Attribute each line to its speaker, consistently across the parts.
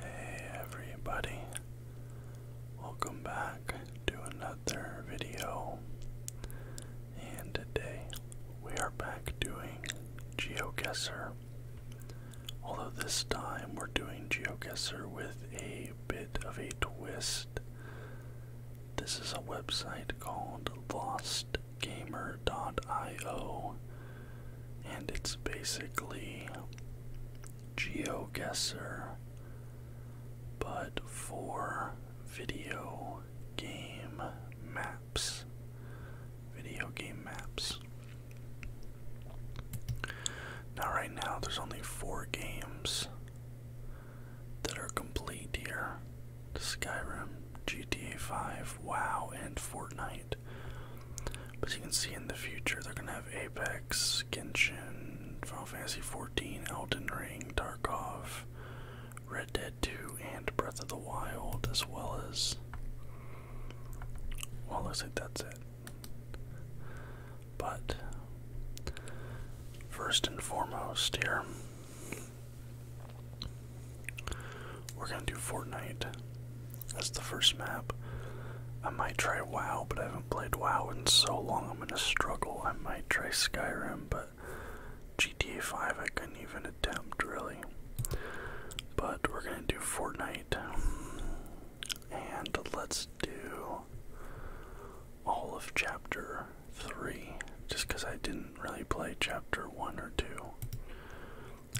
Speaker 1: Hey everybody, welcome back to another video. And today we are back doing GeoGuessr. Although this time we're doing GeoGuessr with a bit of a twist. This is a website called LostGamer.io and it's basically GeoGuessr, but for video game maps. Video game maps. Now, right now, there's only four games that are complete here Skyrim, GTA 5, WoW, and Fortnite. But you can see in the future, they're going to have Apex, Genshin, Final Fantasy XIV, Elden Ring, Dark of, Red Dead 2, and Breath of the Wild, as well as. Well, looks like that's it. But first and foremost, here we're gonna do Fortnite. That's the first map. I might try WoW, but I haven't played WoW in so long I'm gonna struggle. I might try Skyrim, but GTA 5 I couldn't even attempt really. But we're gonna do Fortnite. And let's do all of chapter 3, just because I didn't really play chapter 1 or 2.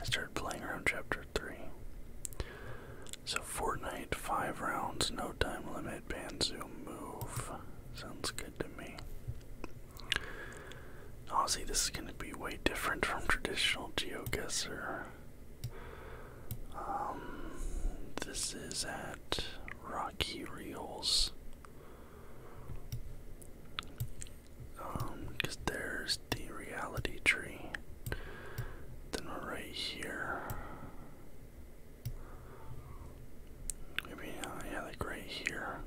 Speaker 1: I started playing around chapter 3. So Fortnite, 5 rounds, no time limit, Banzu move. Sounds good to me. Honestly, this is going to be way different from traditional GeoGuessr. Um, this is at Rocky Reels. Um, because there's the reality tree. Then we're right here. Maybe, uh, yeah, like right here.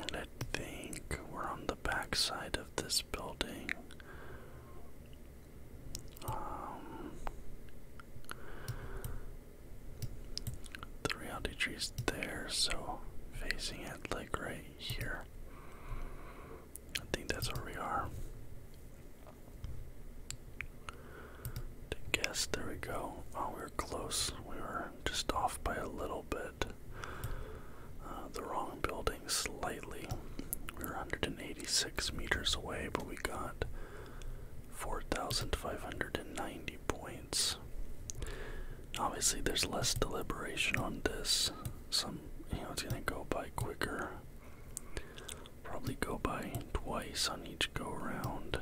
Speaker 1: And I think we're on the back side of this building. Um, the reality tree's there, so facing it like right here. I think that's where we are. guess there we go. Oh, we were close. We were just off by a little bit. Uh, the wrong building slightly. We were 186 meters away, but we got 4,590 points. Obviously, there's less deliberation on this, so um, you know, it's gonna go by quicker. Probably go by twice on each go around.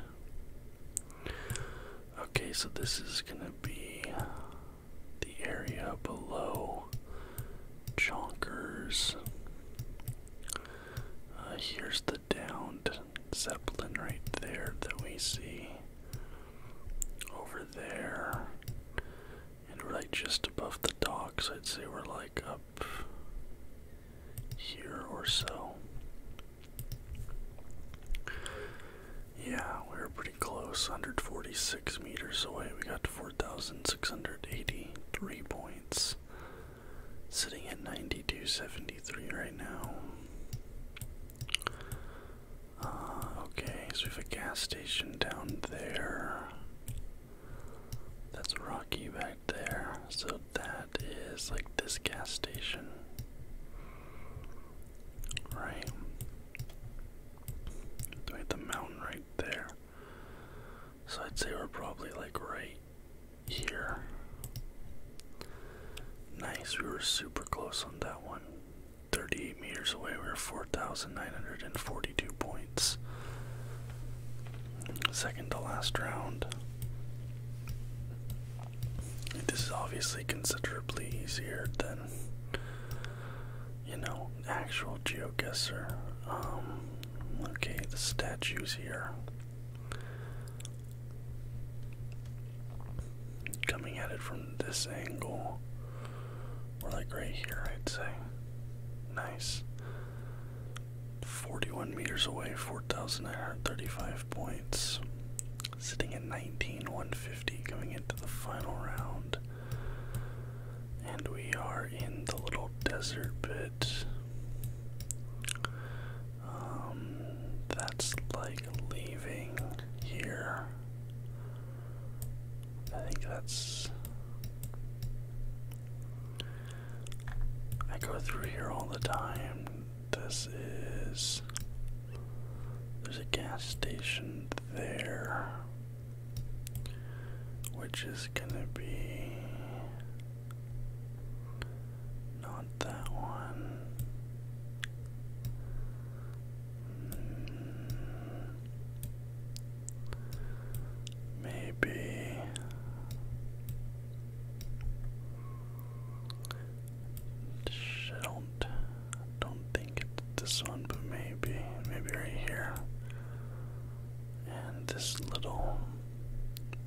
Speaker 1: Okay, so this is gonna be the area below Chonkers. Uh, here's the downed Zeppelin right there that we see over there. And right just above the docks. I'd say we're like up here or so. Yeah, we are pretty close. 146 meters away. We got 4,683 points. Sitting at 92.73 right now. Uh, okay, so we have a gas station down there. That's Rocky back there. So that is like this gas station. Right. we have the mountain right there? So I'd say we're probably like right here. Nice, we were super close on that one. 38 meters away, we were 4,942 points. Second to last round. This is obviously considerably easier than, you know, actual geoguesser. Um, okay, the statues here. Coming at it from this angle, or like right here, I'd say. Nice. 41 meters away, 4,035 points. Sitting at nineteen one fifty, going into the final round. And we are in the little desert bit. Um, that's like leaving here. I think that's. I go through here all the time. This is. There's a gas station there, which is gonna be. Not that one. Maybe I don't don't think it's this one, but maybe maybe right here. And this little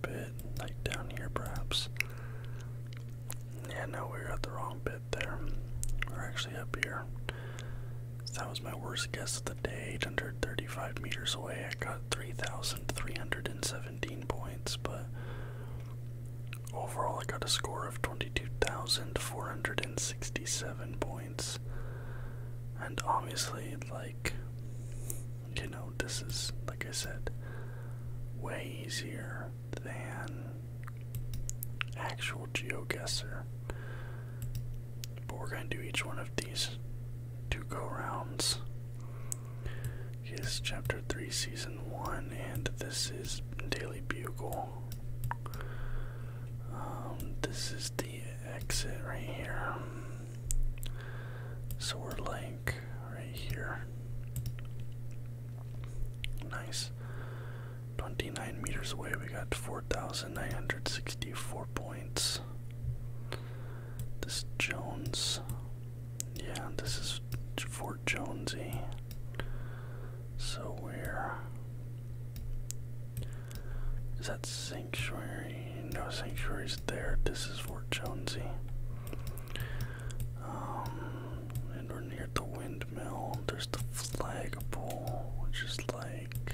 Speaker 1: bit, like down here perhaps. Yeah, no, we we're at the wrong bit there. We're actually up here. That was my worst guess of the day. 835 meters away, I got 3,317 points, but overall I got a score of 22,467 points. And obviously, like, you know, this is, like I said, way easier than Actual geoguesser, But we're going to do each one of these two go rounds. Yes, Chapter 3, Season 1, and this is Daily Bugle. Um, this is the exit right here. So we're like right here. Nice. 29 meters away, we got 4,964 points. This Jones. Yeah, this is Fort Jonesy. So where is that sanctuary? No sanctuary's there. This is Fort Jonesy. Um, and we're near the windmill. There's the flagpole, which is like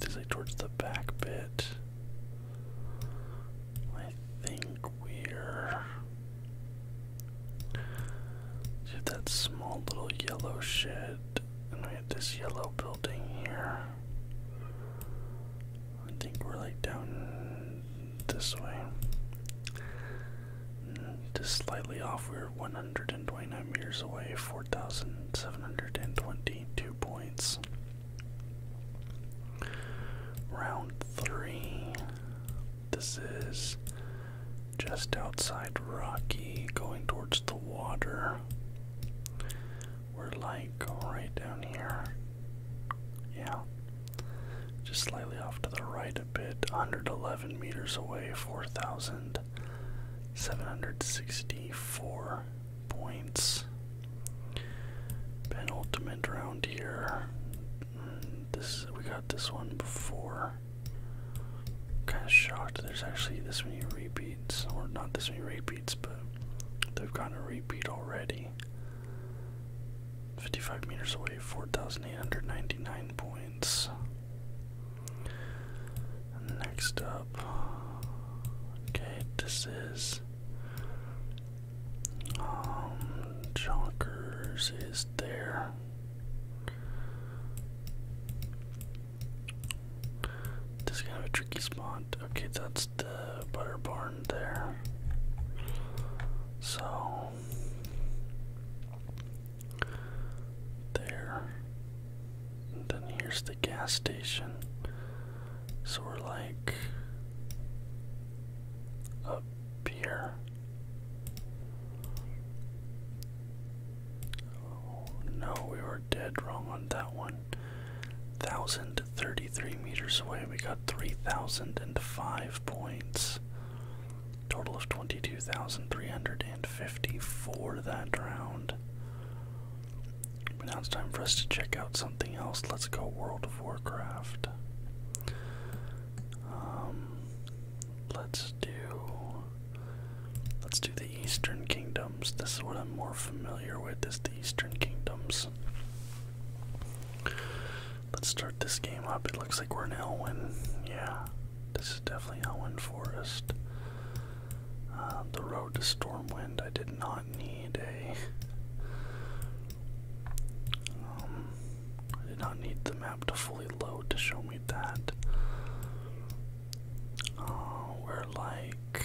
Speaker 1: it's like towards the back bit. I think we're we have that small little yellow shed, and we have this yellow building here. I think we're like down this way just slightly off. We one hundred 129 meters away, 4,722 points. Round three. This is just outside Rocky, going towards the water. We're like right down here. Yeah. Just slightly off to the right bit 111 meters away, 4,764 points. Penultimate round here. Mm, this we got this one before. Kind of shocked. There's actually this many repeats, or not this many repeats, but they've gotten a repeat already. 55 meters away, 4,899 points. Next up, okay, this is um, Jonkers is there. This is kind of a tricky spot. Okay, that's the butter barn there. So there. And then here's the gas station. So we're like up here. Oh no, we were dead wrong on that one. 1,033 meters away, we got 3,005 points. Total of 22,354 that round. But now it's time for us to check out something else. Let's go World of Warcraft. Um, let's do let's do the Eastern Kingdoms. This is what I'm more familiar with is the Eastern Kingdoms. Let's start this game up. It looks like we're in Elwyn. Yeah. This is definitely Elwyn Forest. Uh, the Road to Stormwind. I did not need a. Um, I Um, did not need the map to fully load to show me that. Uh, we're like.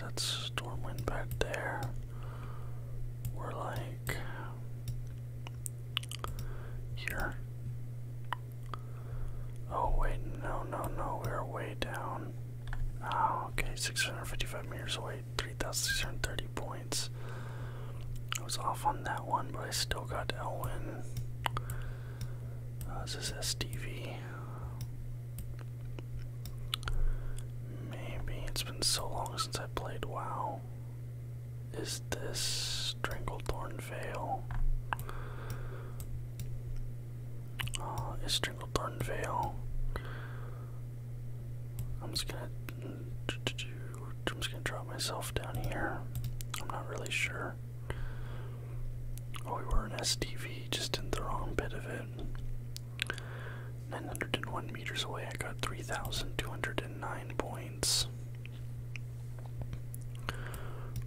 Speaker 1: That's Stormwind back there. We're like here. Oh wait, no, no, no, we're way down. Oh, okay, 655 meters away, 3,630 points. I was off on that one, but I still got Elwin. Uh, this is STV. Maybe it's been so long since I played WoW. Is this Stranglethorn Veil? Uh, is Stranglethorn Veil? I'm just gonna. I'm just gonna drop myself down here. I'm not really sure. Oh, we were in S D V, just in the wrong bit of it. 901 meters away, I got 3,209 points.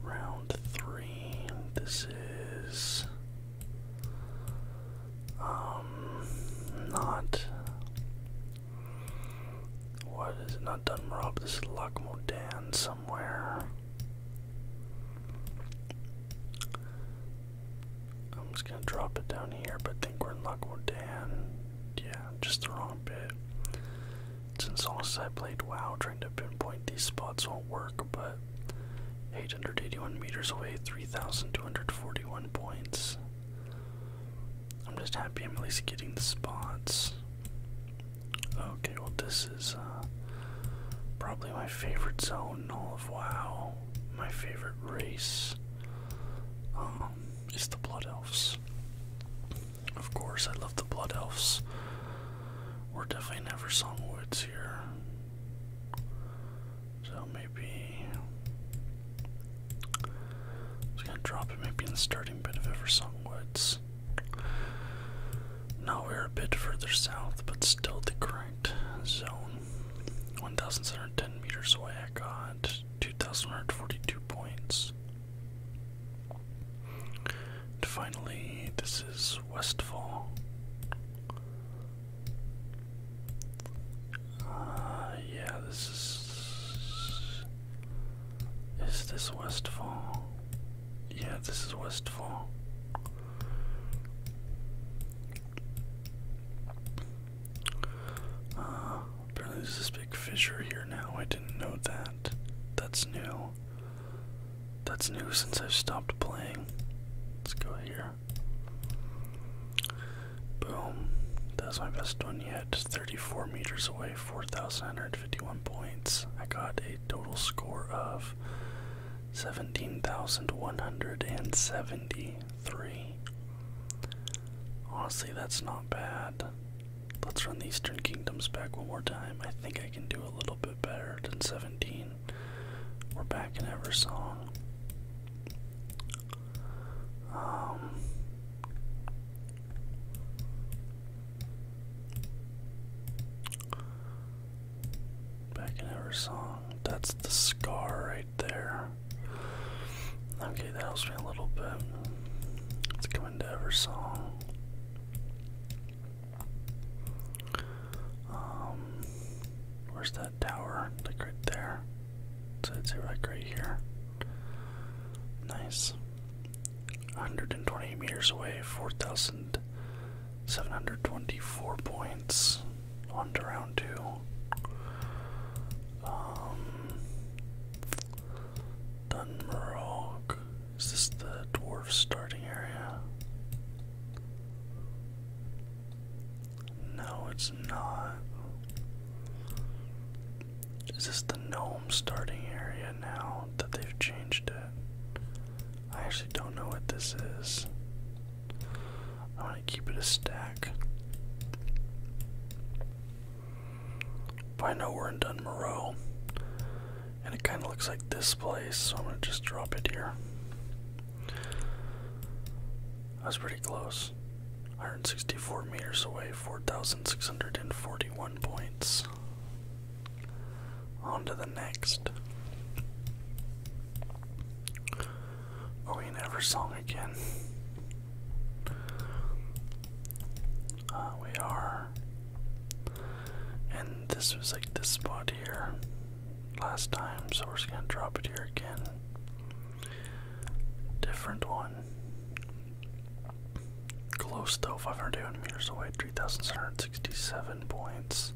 Speaker 1: Round three. This is um not what is it? Not Dunrob. This is Lochmodan somewhere. I'm just gonna drop it down here, but think we're in luck, Lockwood Dan. Yeah, just the wrong bit. Since also I played WoW, trying to pinpoint these spots won't work, but 881 meters away, 3,241 points. I'm just happy I'm at least getting the spots. Okay, well this is uh, probably my favorite zone in all of WoW. My favorite race. Um, it's the Blood Elves. Of course, I love the Blood Elves. We're definitely never song woods here. So maybe I was gonna drop it maybe in the starting bit of Ever Song Woods. Now we're a bit further south, but still the correct zone. 1,710 meters away, I got got points. And finally, this is Westfall. Uh, yeah, this is. Is this Westfall? Yeah, this is Westfall. Uh, apparently there's this big fissure here now. I didn't know that. That's new. That's new since I've stopped playing. Let's go here. Boom. That's my best one yet. 34 meters away, 4,951 points. I got a total score of 17,170 three. Honestly, that's not bad. Let's run the Eastern Kingdoms back one more time. I think I can do a little bit better than 17. We're back in Eversong. Um, back in Eversong. That's the scar right there. Okay, that helps me a little bit. Let's go into Eversong. Um, where's that tower? Like right there. So it's would say right here. Nice. 120 meters away, 4,724 points on to round two. Um, Is this the dwarf starting area? No, it's not. Is this the gnome starting area now that they've changed it? I actually don't know what this is. I want to keep it a stack. I know we're in Dunmore, And it kind of looks like this place, so I'm going to just drop it here. That was pretty close. 164 meters away, 4,641 points. On to the next. Oh, we never saw him again. Ah, we are. And this was like this spot here last time, so we're just gonna drop it here again. Different one. Close though, 581 meters away, 3,767 points.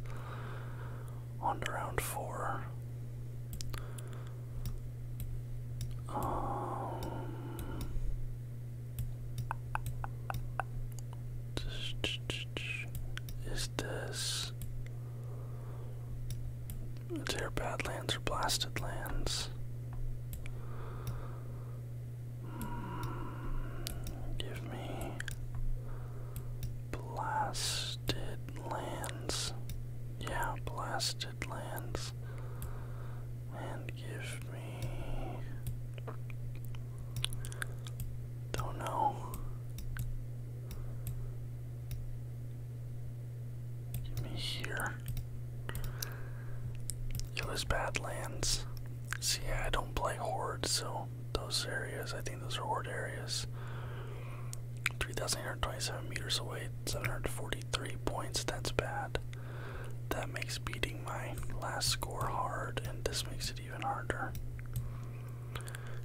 Speaker 1: On to round four. Um, is this it's air badlands or blasted lands? Mm, give me blasted lands. Yeah, blasted forested lands and give me don't know give me here it was badlands see I don't play horde so those areas I think those are horde areas 3,827 meters away, 743 points. That's bad. That makes beating my last score hard, and this makes it even harder.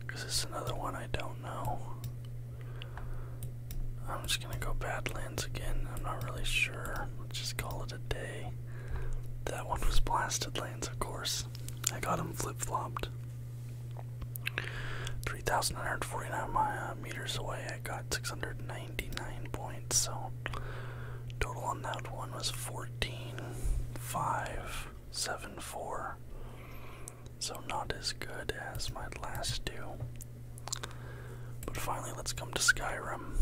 Speaker 1: Because it's another one I don't know. I'm just gonna go Badlands again. I'm not really sure. Let's just call it a day. That one was Blasted Lands, of course. I got him flip flopped. 3,949 uh, meters away. I got 699 points, so total on that one was 14,574. So, not as good as my last two. But finally, let's come to Skyrim.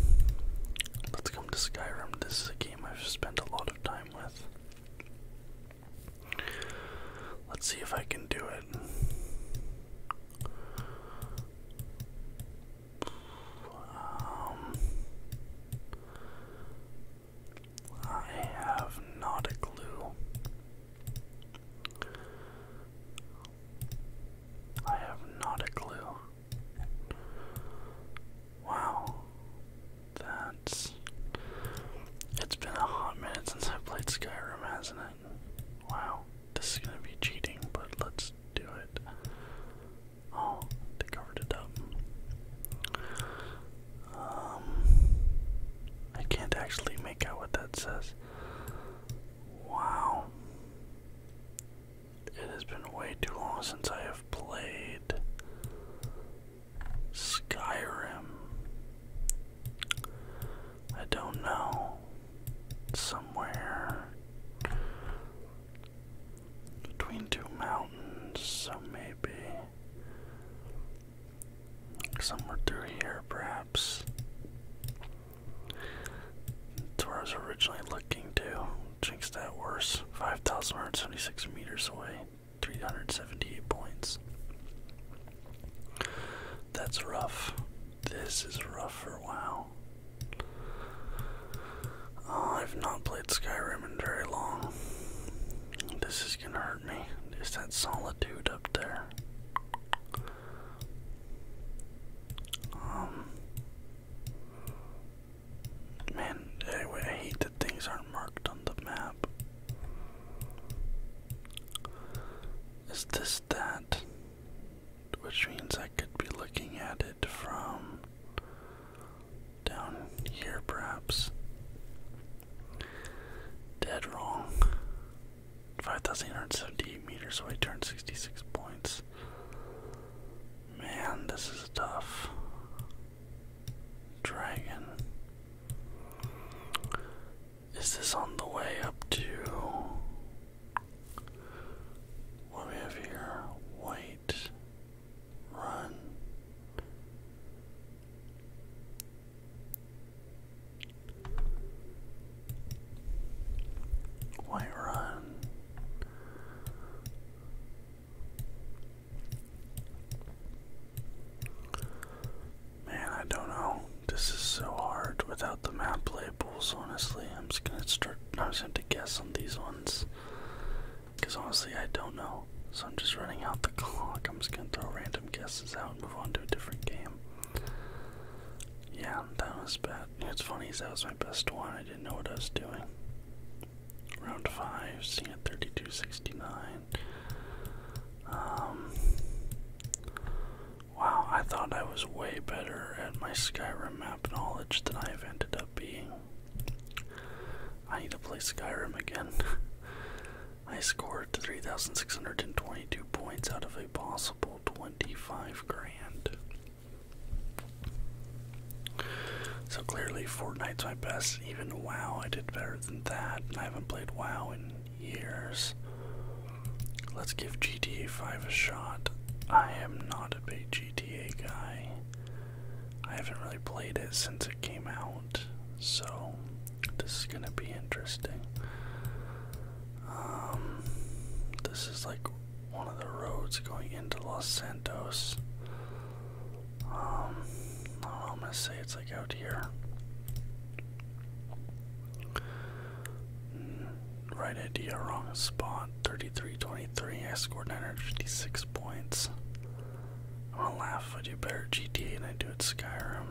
Speaker 1: Let's come to Skyrim. This is a game I've spent a lot of time with. Let's see if I can do it. Um, I have not a clue. I have not a clue. Wow. That's. It's been a hot minute since I played Skyrim, hasn't it? Wow, this is gonna be cheating, but let's do it. Oh, they covered it up. Um, I can't actually make out what that says. Wow. It has been way too long since I have played Skyrim. I don't know. Somewhere between two mountains, so maybe somewhere through here, perhaps. To where I was originally looking to. Jinx that worse. 5,176 meters away, 378 points. That's rough. This is rougher, wow. Uh, I've not played Skyrim in very long. This is gonna hurt me. Is that solitude up there? Um. Man, I hate that things aren't marked on the map. Is this that? which means I could be looking at it from down here perhaps. Dead wrong. 5,878 meters So I turned 66 points. Man, this is tough. Dragon. Is this on the way up to what we have here? White run. White run. Man, I don't know. This is so hard without the map labels, honestly. I'm just gonna start, I'm just gonna guess on these ones. Because honestly, I don't know. So I'm just running out the clock. I'm just gonna throw random guesses out and move on to a different game. Yeah, that was bad. You know, it's funny, that was my best one. I didn't know what I was doing. Round 5, seeing at 3269. Um, Wow, I thought I was way better at my Skyrim map knowledge than I have ended up being. I need to play Skyrim again. I scored 3,622 points out of a possible 25 grand. So clearly, Fortnite's my best. Even WoW, I did better than that. I haven't played WoW in years. Let's give GTA 5 a shot. I am not a big GTA guy. I haven't really played it since it came out, so this is gonna be interesting. Um, this is like one of the roads going into Los Santos. Um, I'm gonna say it's like out here. Hmm right idea, wrong spot. 33-23. I scored 956 points. I'm gonna laugh. I do better at GTA than I do at Skyrim.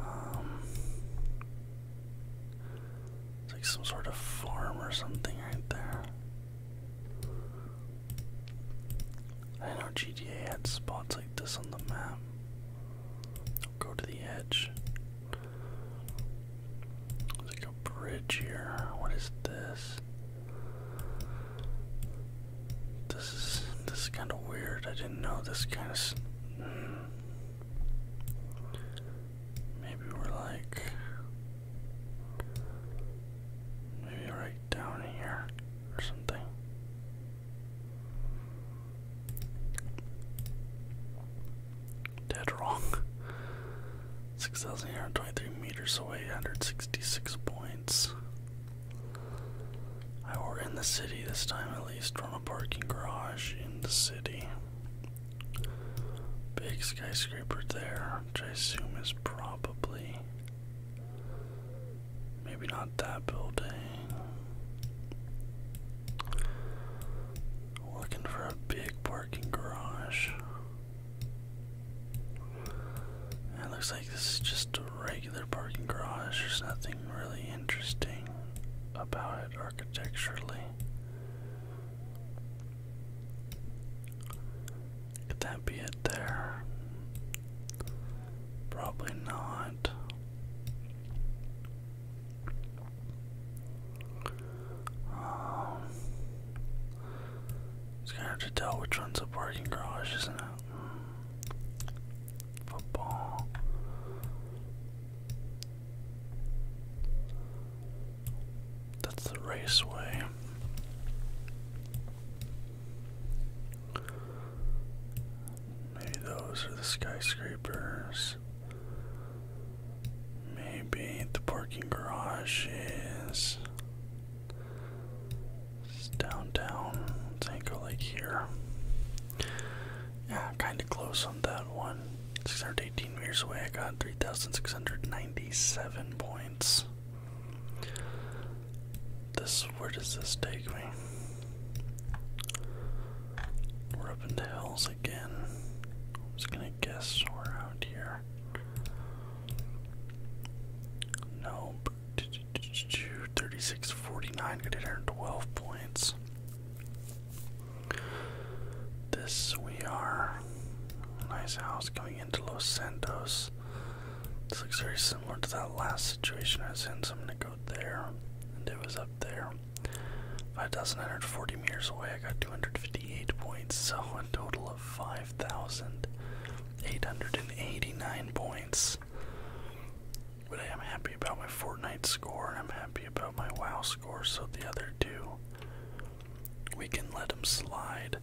Speaker 1: Um, it's like some sort of farm or something right there. I know GTA had spots like this on the map. I'll go to the edge. There's like a bridge here. What is this? This is this is kind of weird. I didn't know this kind of. Hmm. Maybe we're like. Maybe right down here or something. Dead wrong. 6,823 meters away, 166 points. I were in the city this time at least, from a parking garage in the city. Big skyscraper there, which I assume is probably. Maybe not that building. Looking for a big parking garage. it looks like this is just a regular parking garage. There's nothing really interesting about it architecturally. Could that be it there? Probably not it's kind of hard to tell which one's a parking garage, isn't it? Hmm. Football. That's the raceway. Maybe those are the skyscrapers. Maybe the parking garages. is downtown. Let's go like here. Yeah, kind of close on that one. 618 meters away, I got 3,697 points. This, where does this take me? We're up in the hills again. I'm just gonna guess we're out here. Nope. 36, 49, could hit her 12 points. This we are. Nice house going into Los Santos. This looks very similar to that last situation I was in, so I'm gonna go there. And it was up there. 5,940 meters away, I got 258 points, so a total of 5,889 points. But I am happy about my Fortnite score, and I'm happy about my WoW score, so the other two, we can let them slide.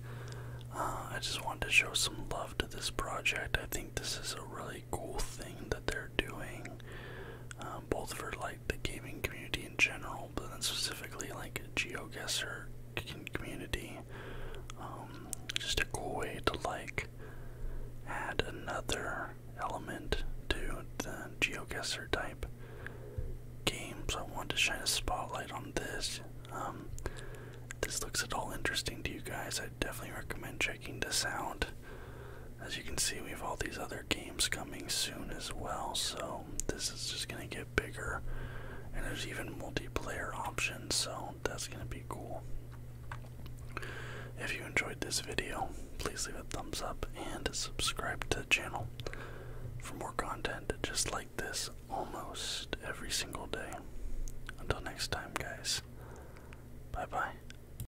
Speaker 1: Uh, I just wanted to show some love to this project. I think this is a really cool thing that they're doing. Um, both for like the gaming community in general, but then specifically like geoguesser community. Um, just a cool way to like add another element to the geoguesser type game. So I want to shine a spotlight on this. Um, this looks at all interesting to you guys. I definitely recommend checking this out as you can see, we have all these other games coming soon as well, so this is just going to get bigger. And there's even multiplayer options, so that's going to be cool. If you enjoyed this video, please leave a thumbs up and subscribe to the channel for more content just like this almost every single day. Until next time, guys, bye bye.